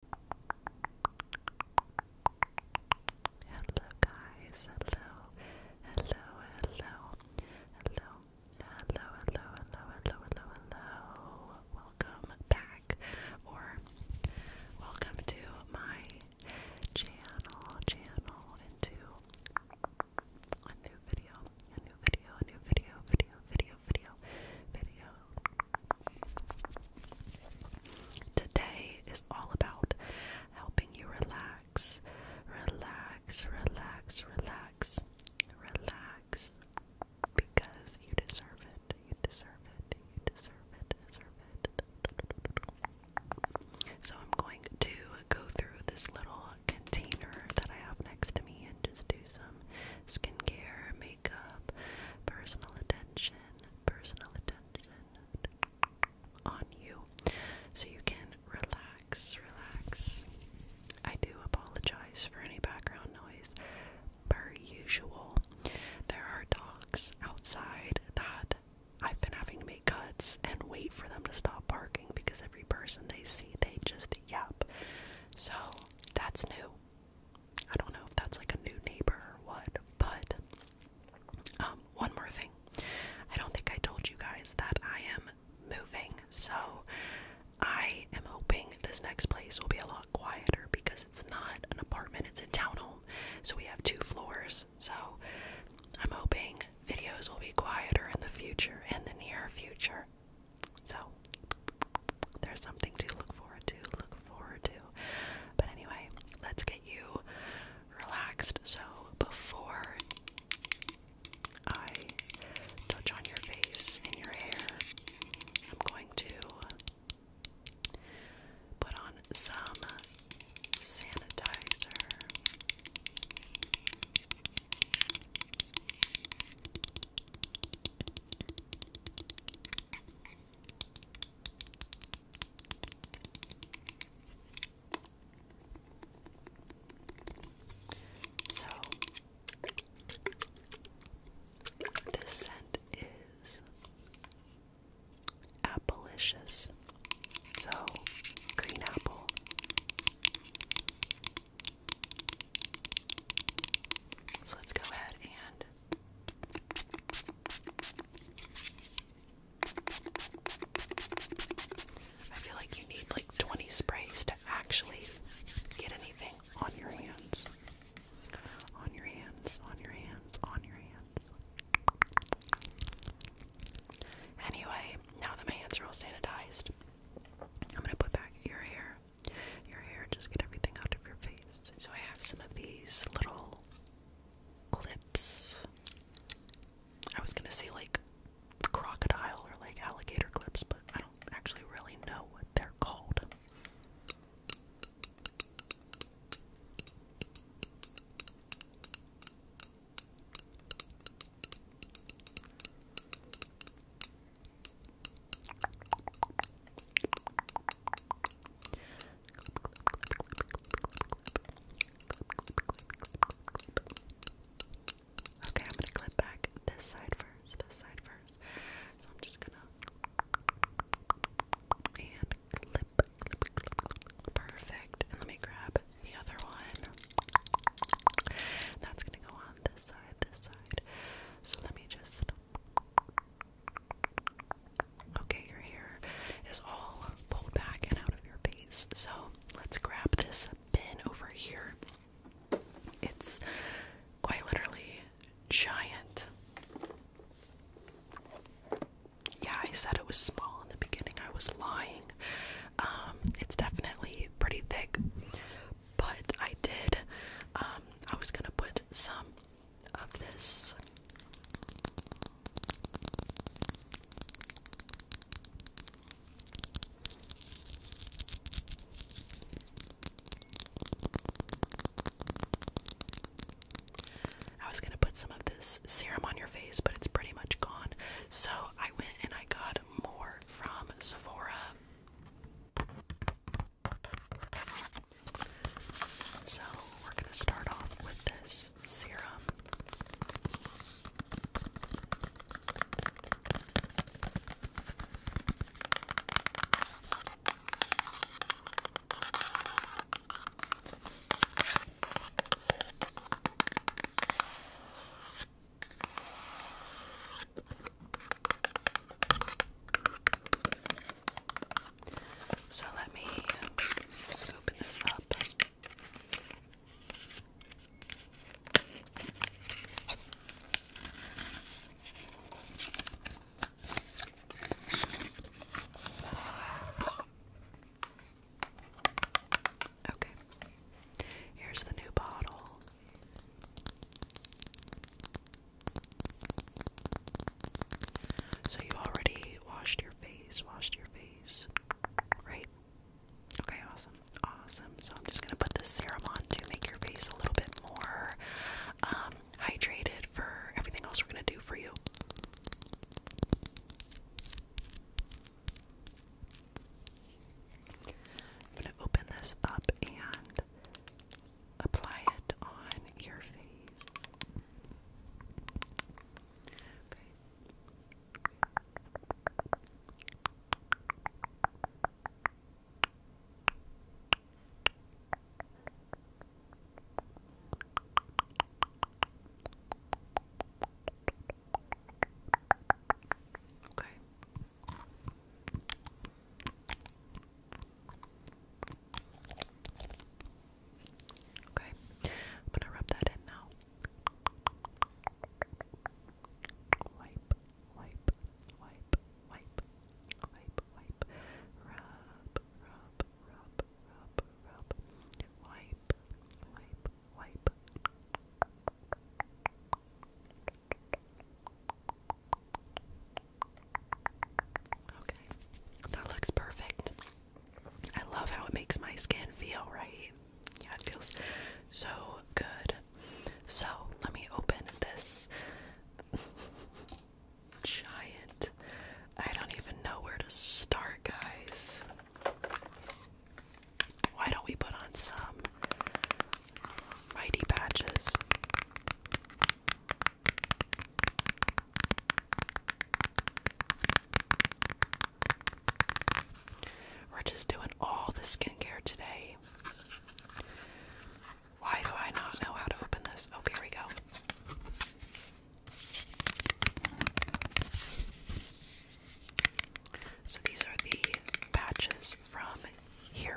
Hello guys, hello, hello, hello, hello, hello, hello, hello, hello, hello, hello. Welcome back or welcome to my channel, channel into a new video, a new video, a new video, video, video, video, video, Today is all about helping you relax, relax, relax, relax, relax, because you deserve it, you deserve it, you deserve it, deserve it. So I'm going to go through this little container that I have next to me and just do some skincare, makeup, personal attention, personal attention on you so you can relax, relax. I do apologize for any background noise per usual. There are dogs outside that I've been having to make cuts and wait for them to stop barking because every person they see, they just yap. So that's new. I don't know if that's like a new neighbor or what, but um, one more thing. I don't think I told you guys that I am moving, so I am hoping this next place will be a lot quieter because it's not an apartment, it's a townhome. So we have two floors. So I'm hoping videos will be quieter in the future, in the near future. So there's something to look forward to, look forward to. But anyway, let's get you relaxed. So before I touch on your face and your hair, I'm going to put on some sanitizer. So this scent is Appalicious. So green apple. So let's go ahead and I feel like you need like 20 sprays to actually get anything on your hands. On your hands, on your hands, on your hands. Anyway, now that my hands are all sanitized, I'm gonna put back your hair your hair, just get everything out of your face. So I have some of these little clips. I was gonna say like crocodile or like alligator clips, but I don't actually really know what they're called. Okay, I'm gonna clip back this side first, this side first. So I'm just gonna and clip, Perfect. And let me grab the other one. That's gonna go on this side, this side. So let me just. Okay, your hair is all pulled back and out of your face. So let's grab this bin over here. It's quite literally giant. Yeah, I said it was small in the beginning. I was lying. Um, it's definitely pretty thick but I did. Um, I was gonna put some of this. I was gonna put some of this serum on your face, but it's pretty much gone. So I went and I got more from Sephora. So, we're going to start off with this serum. So let me open this up. Okay. Here's the new bottle. So you already washed your face, washed your face, right? Okay, awesome, awesome. So I'm just gonna put the serum on to make your face a little bit more um, hydrated for everything else we're gonna do for you. I'm gonna open this up and apply it on your face. Okay. Okay, I'm gonna rub that in now. Wipe, wipe, wipe, wipe, wipe, wipe, rub, rub, rub, rub, rub, wipe, wipe, wipe, Okay, that looks perfect. I love how it makes my skin feel, right? Yeah, it feels so good. So, let me open this giant. I don't even know where to start, guys. Why don't we put on some mighty patches? We're just doing all the skincare today. Why do I not know how to open this? Oh, here we go. So these are the patches from hero.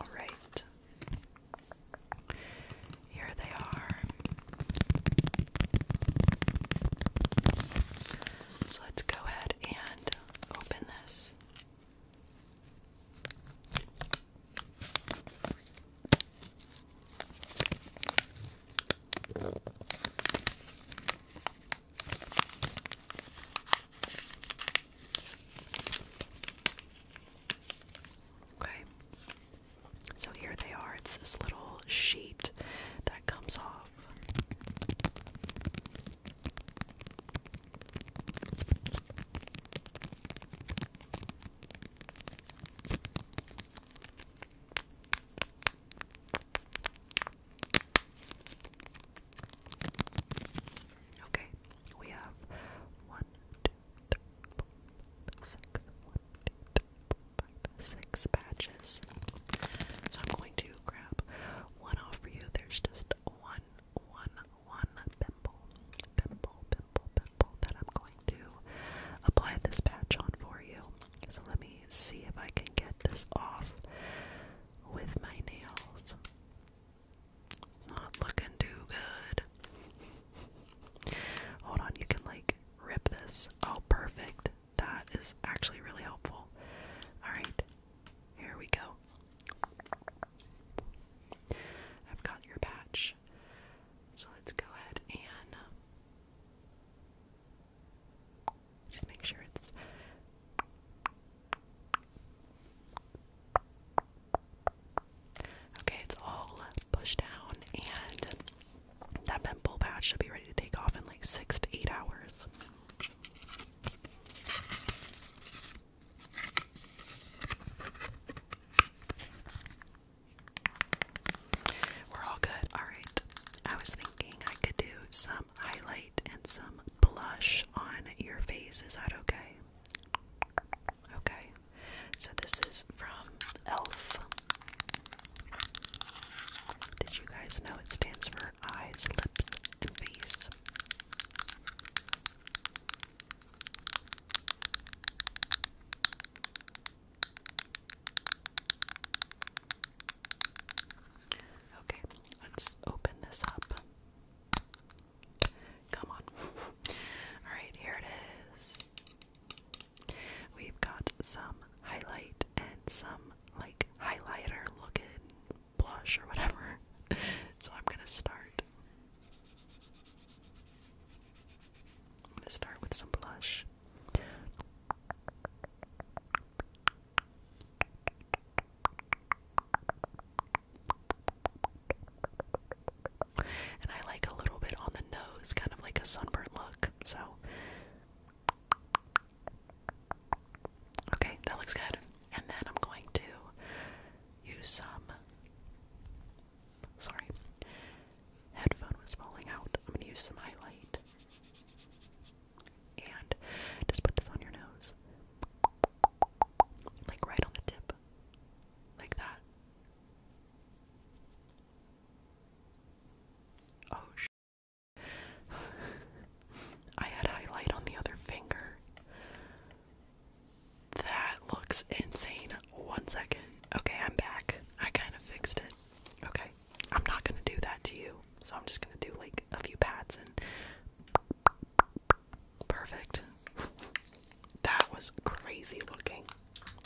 All right. Here they are. So let's go ahead and open this. Okay. So here they are. It's this little sheet that comes off. Okay, we have one, two, three, four, five, six, one, two, three, four, five, six patches. So I'm going to grab one off for you. There's just one, one, one pimple, pimple, pimple, pimple that I'm going to apply this patch on for you. So let me see if I can get this off with my nails. Not looking too good. Hold on, you can like rip this. Oh, perfect. That is actually really helpful. Alright, here we go. I've got your patch. So let's go ahead and just make sure it's. Okay, it's all pushed down, and that pimple patch should be ready to take off in like six to eight hours. We're all good. All right. I was thinking I could do some highlight and some blush on your face. Is that okay? Okay. So this is from ELF. Did you guys know it stands for eyes, lips, and face? Okay, let's open this up. Come on. Alright, here it is. We've got some highlight and some like highlighter looking blush or whatever. so I'm gonna start. I'm gonna start with some blush. And I like a little bit on the nose, kind of like a sunburnt look. So, okay, that looks good. And then I'm going to use some. Sorry, headphone was falling out. I'm gonna use some highlight. And just put this on your nose. Like right on the tip. Like that. Oh sh I had highlight on the other finger. That looks insane. One second. Okay, I'm back. I kind of fixed it. Okay. I'm not gonna do that to you. So I'm just gonna do like a few pads and perfect. That was crazy looking.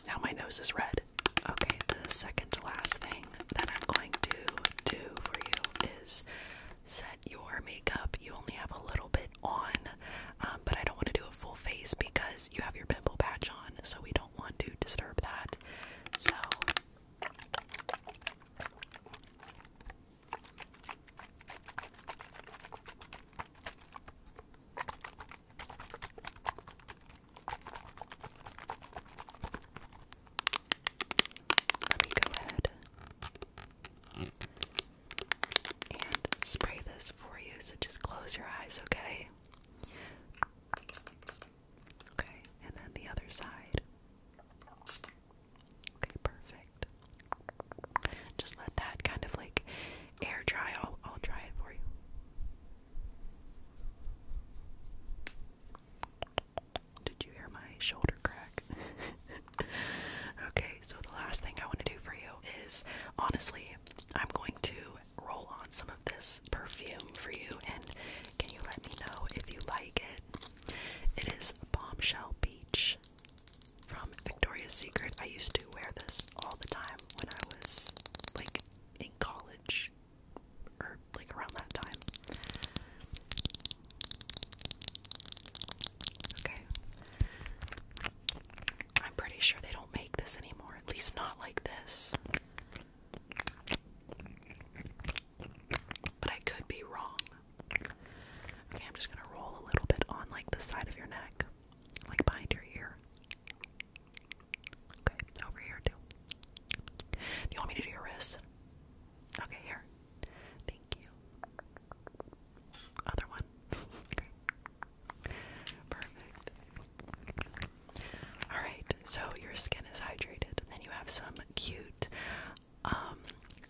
Now my nose is red. Okay, the second to last thing that I'm going to do for you is set your makeup. You only have a little bit on, um, but I don't want to do a full face because you have your pimple patch on, so we don't want to disturb that. So let me go ahead and spray this for you. So just close your eyes, okay? Okay, and then the other side. Okay, perfect. Just let that kind of like air dry. I'll, I'll dry it for you. Did you hear my shoulder crack? okay, so the last thing I want to do for you is honestly, I'm going to roll on some of this perfume for you, and can you let me know if you like it? It is Bombshell Peach from Victoria's Secret. I used to wear this all the time when I was like in college or like around that time. Okay. I'm pretty sure they don't make this anymore, at least not like this. But I could be wrong. Okay, I'm just gonna roll a little bit on like the side of your neck, like behind your ear. Okay, over here too. Do you want me to do your wrist? Okay, here. Thank you. Other one. okay. Perfect. Alright, so your skin is hydrated. And then you have some cute um,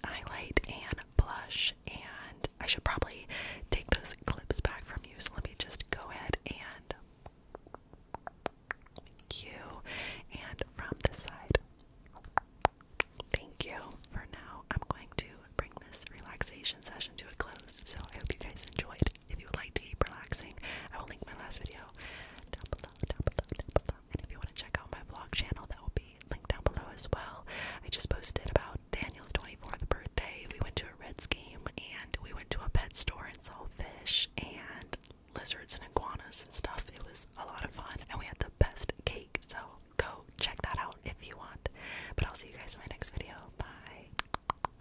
highlight and blush. And I should probably take those clips back from you. So let me just go ahead and. Thank And from this side. Thank you. For now, I'm going to bring this relaxation session to a close. So I hope you guys enjoyed. If you like to keep relaxing, I will link my last video down below, down below, down below. And if you want to check out my vlog channel, that will be linked down below as well. I just posted about Daniel's 24th birthday. We went to a Reds game and we went to a pet store and saw fish and lizards and iguanas and stuff. It was a lot of fun and we had the best cake. So go check that out if you want. But I'll see you guys in my next video. Bye.